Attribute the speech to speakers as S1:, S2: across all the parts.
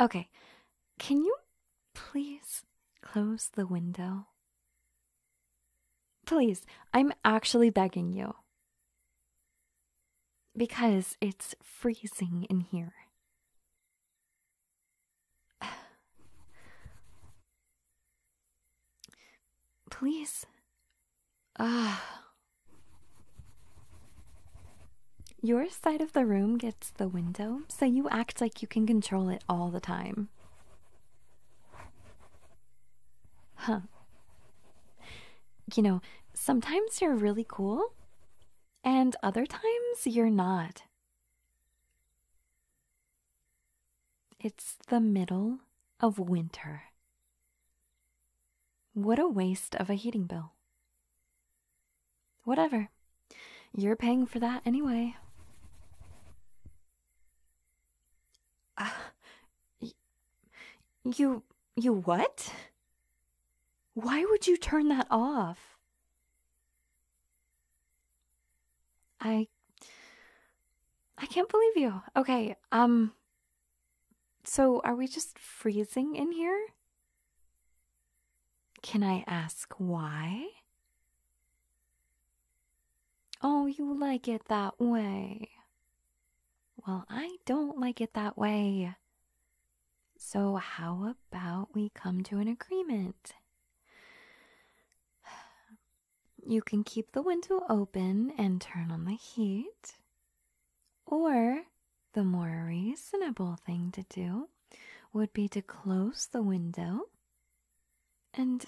S1: Okay, can you please close the window? Please, I'm actually begging you. Because it's freezing in here. Please. Ah. Your side of the room gets the window, so you act like you can control it all the time. Huh. You know, sometimes you're really cool, and other times you're not. It's the middle of winter. What a waste of a heating bill. Whatever. You're paying for that anyway. Uh, you you what? Why would you turn that off? I I can't believe you. Okay, um so are we just freezing in here? Can I ask why? Oh, you like it that way. Well, I don't like it that way. So, how about we come to an agreement? You can keep the window open and turn on the heat. Or, the more reasonable thing to do would be to close the window and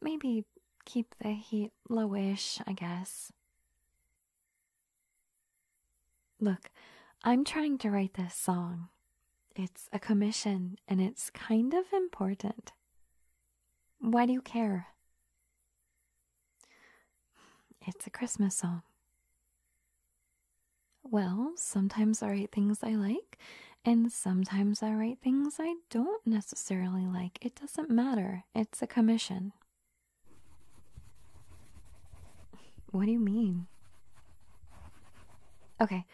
S1: maybe keep the heat lowish, I guess. Look, I'm trying to write this song. It's a commission and it's kind of important. Why do you care? It's a Christmas song. Well, sometimes I write things I like, and sometimes I write things I don't necessarily like. It doesn't matter. It's a commission. What do you mean? Okay,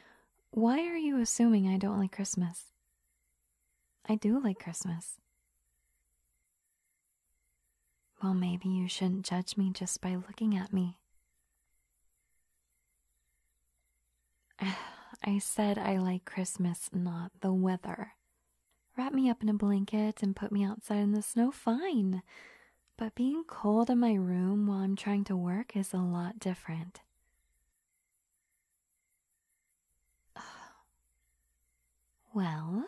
S1: why are you assuming I don't like Christmas? I do like Christmas. Well, maybe you shouldn't judge me just by looking at me. I said I like Christmas, not the weather. Wrap me up in a blanket and put me outside in the snow, fine. But being cold in my room while I'm trying to work is a lot different. Well,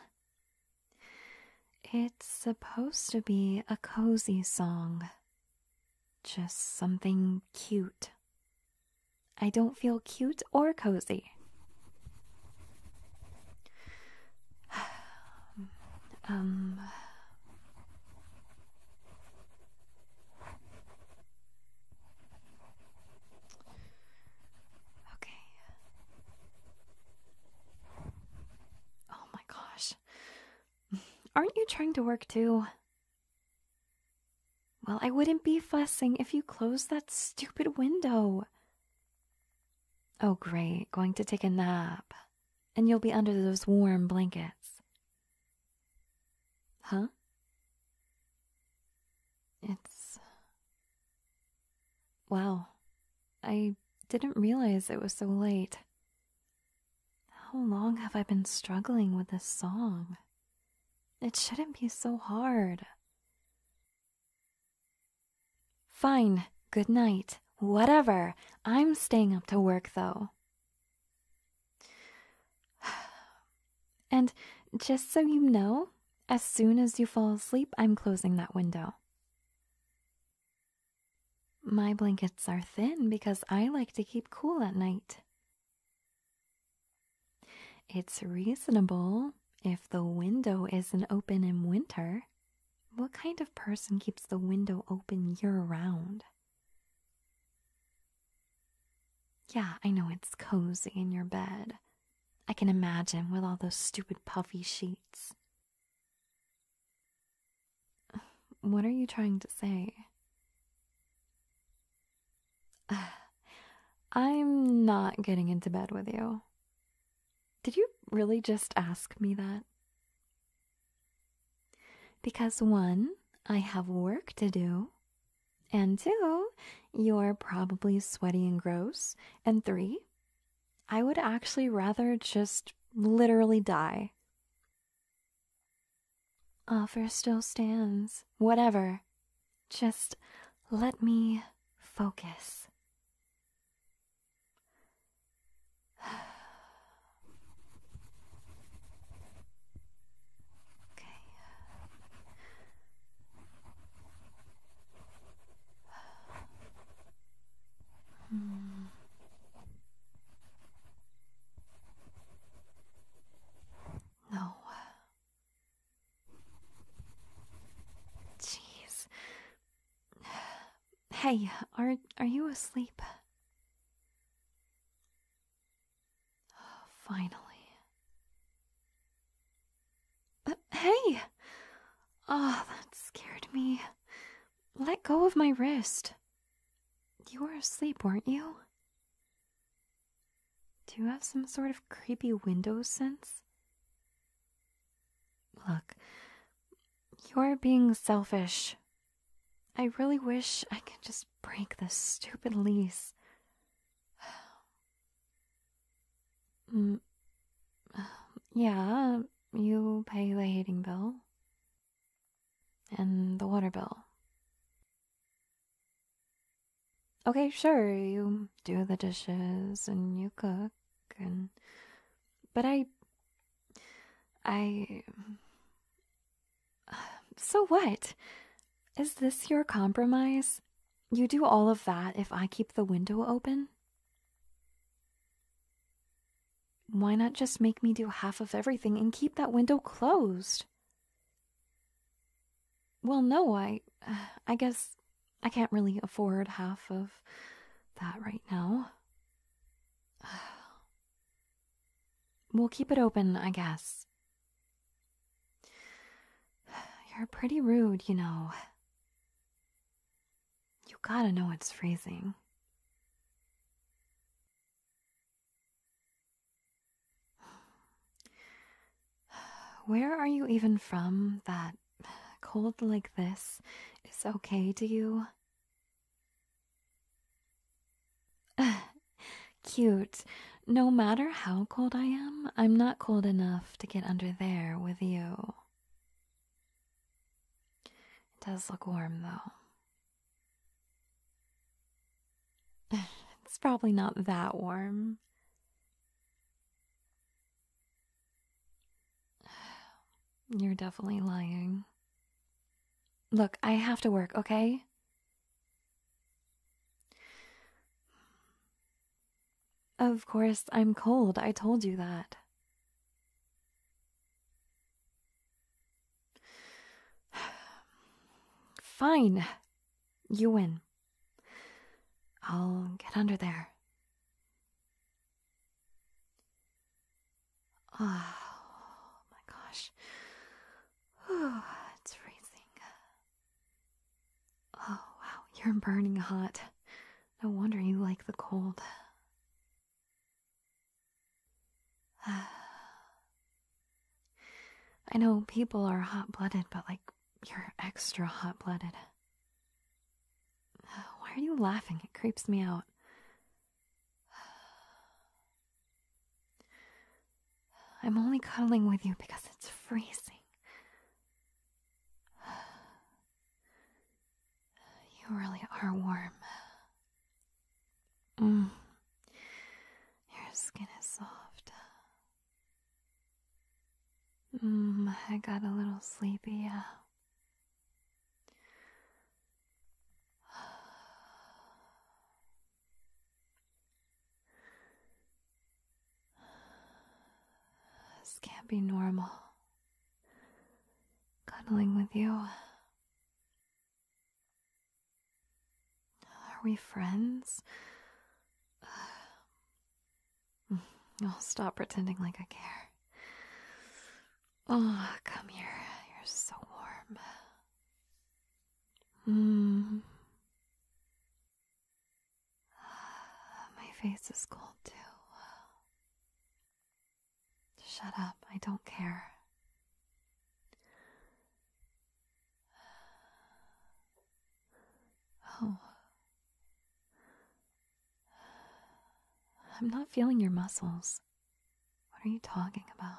S1: it's supposed to be a cozy song. Just something cute. I don't feel cute or cozy. Um. Okay. Oh my gosh. Aren't you trying to work too? Well, I wouldn't be fussing if you closed that stupid window. Oh, great, going to take a nap. And you'll be under those warm blankets. Huh? It's. Wow. I didn't realize it was so late. How long have I been struggling with this song? It shouldn't be so hard. Fine, good night, whatever. I'm staying up to work though. And just so you know, as soon as you fall asleep, I'm closing that window. My blankets are thin because I like to keep cool at night. It's reasonable if the window isn't open in winter. What kind of person keeps the window open year round? Yeah, I know it's cozy in your bed. I can imagine with all those stupid puffy sheets. What are you trying to say? I'm not getting into bed with you. Did you really just ask me that? Because one, I have work to do. And two, you're probably sweaty and gross. And three, I would actually rather just literally die. Offer still stands. Whatever. Just let me focus. okay. Hmm. No, Jeez. Hey, are are you asleep? Oh, finally. Uh, hey. Oh, that scared me. Let go of my wrist. You were asleep, weren't you? Do you have some sort of creepy window sense? Look, you're being selfish. I really wish I could just break this stupid lease. Mm, yeah, you pay the heating bill and the water bill. Okay, sure, you do the dishes and you cook and but I I So what? Is this your compromise? You do all of that if I keep the window open? Why not just make me do half of everything and keep that window closed? Well, no, I I guess I can't really afford half of that right now. We'll keep it open, I guess. You're pretty rude, you know. You gotta know it's freezing. Where are you even from that cold like this is okay to you? Cute. No matter how cold I am, I'm not cold enough to get under there with you. It does look warm though. It's probably not that warm. You're definitely lying. Look, I have to work, okay? Of course, I'm cold. I told you that. Fine. You win. I'll get under there. Oh my gosh. Oh, it's freezing. Oh wow, you're burning hot. No wonder you like the cold. I know people are hot blooded, but like, you're extra hot blooded. Why are you laughing? It creeps me out. I'm only cuddling with you because it's freezing. You really are warm. Mm. Your skin is soft. Mm, I got a little sleepy, This can't be normal. Cuddling with you. Are we friends? I'll stop pretending like I care. Oh, come here. You're so warm. Hmm. My face is cold too. Shut up, I don't care. Oh. I'm not feeling your muscles. What are you talking about?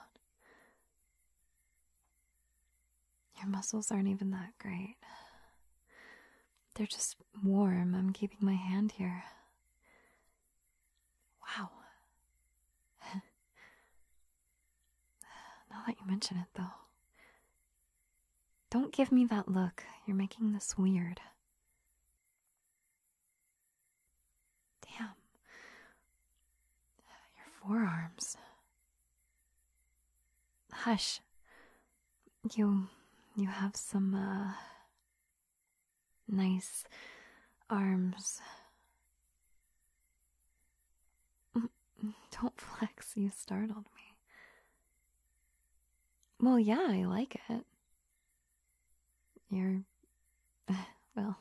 S1: Your muscles aren't even that great. They're just warm. I'm keeping my hand here. Wow. now that you mention it, though, don't give me that look. You're making this weird. Damn. Your forearms. Hush. You. you have some, uh. Nice arms. Mm, mm, don't flex, you startled me. Well, yeah, I like it. You're. Well.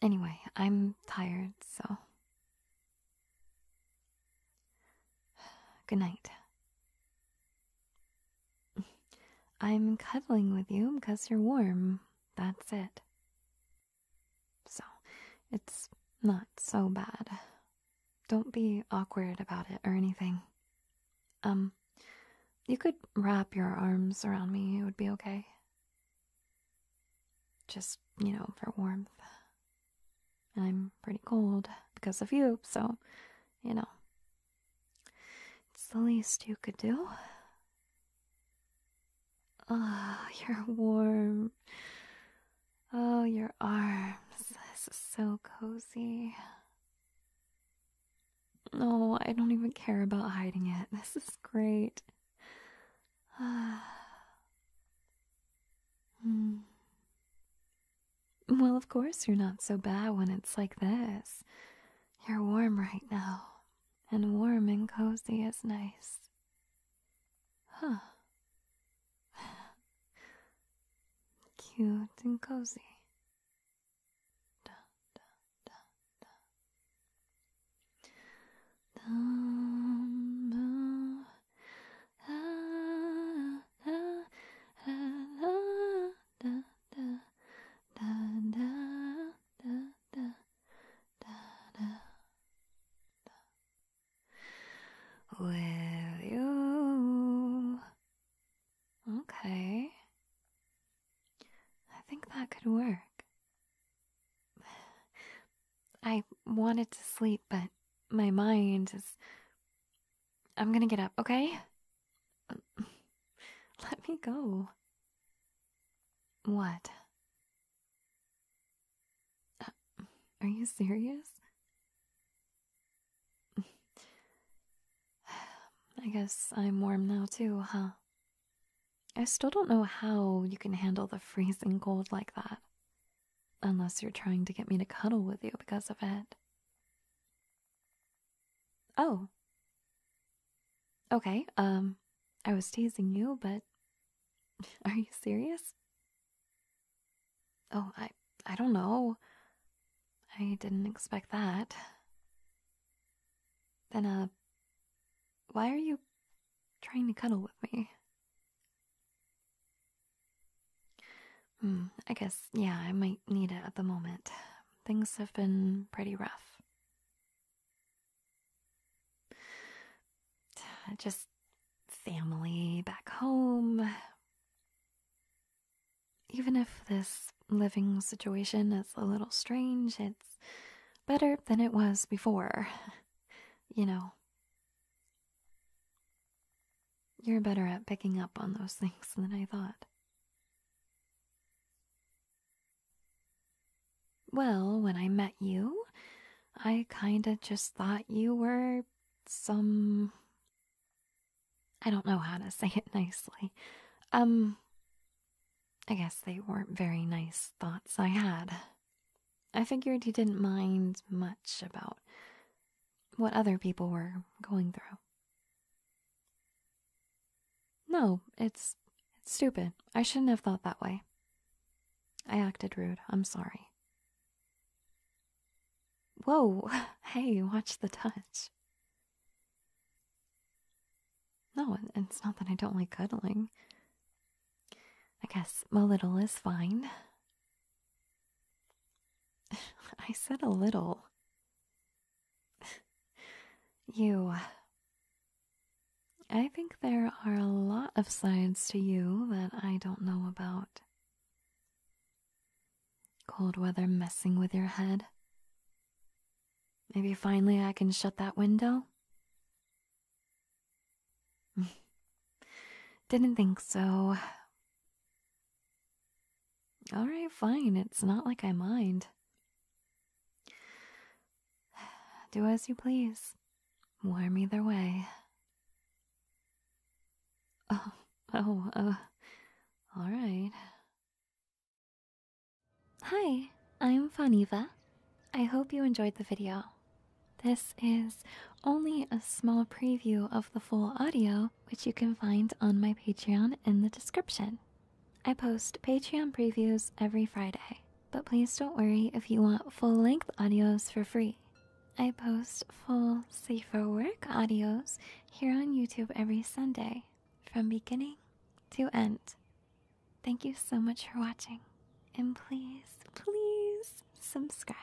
S1: Anyway, I'm tired, so. Good night. I'm cuddling with you because you're warm. That's it. So, it's not so bad. Don't be awkward about it or anything. Um, you could wrap your arms around me, it would be okay. Just, you know, for warmth. I'm pretty cold because of you, so, you know, it's the least you could do. Ah, oh, you're warm. Oh, your arms. This is so cozy. No, I don't even care about hiding it. This is great. Ah. hmm. Well, of course, you're not so bad when it's like this. You're warm right now, and warm and cozy is nice. Huh. Cute and cozy. Ah, ah, ah, da you? Okay. I think that could work. I wanted to sleep, but my mind is I'm gonna get up, okay? Let me go. What? Uh, are you serious? I guess I'm warm now too, huh? I still don't know how you can handle the freezing cold like that. Unless you're trying to get me to cuddle with you because of it. Oh. Okay, um, I was teasing you, but are you serious? Oh, I I don't know. I didn't expect that. Then uh why are you trying to cuddle with me? Mm, I guess, yeah, I might need it at the moment. Things have been pretty rough. Just family back home. Even if this living situation is a little strange, it's better than it was before. you know. You're better at picking up on those things than I thought. Well, when I met you, I kinda just thought you were some. I don't know how to say it nicely. Um. I guess they weren't very nice thoughts I had. I figured you didn't mind much about what other people were going through. No, it's, it's stupid. I shouldn't have thought that way. I acted rude. I'm sorry. Whoa, hey, watch the touch. No, it's not that I don't like cuddling. I guess my little is fine. I said a little. you. I think there are a lot of sides to you that I don't know about. Cold weather messing with your head. Maybe finally I can shut that window? Didn't think so. All right, fine. It's not like I mind. Do as you please. Warm either way. Oh, oh, uh, all right. Hi, I'm Faniva. I hope you enjoyed the video. This is only a small preview of the full audio, which you can find on my Patreon in the description. I post Patreon previews every Friday, but please don't worry if you want full length audios for free. I post full safer work audios here on YouTube every Sunday from beginning to end. Thank you so much for watching, and please, please subscribe.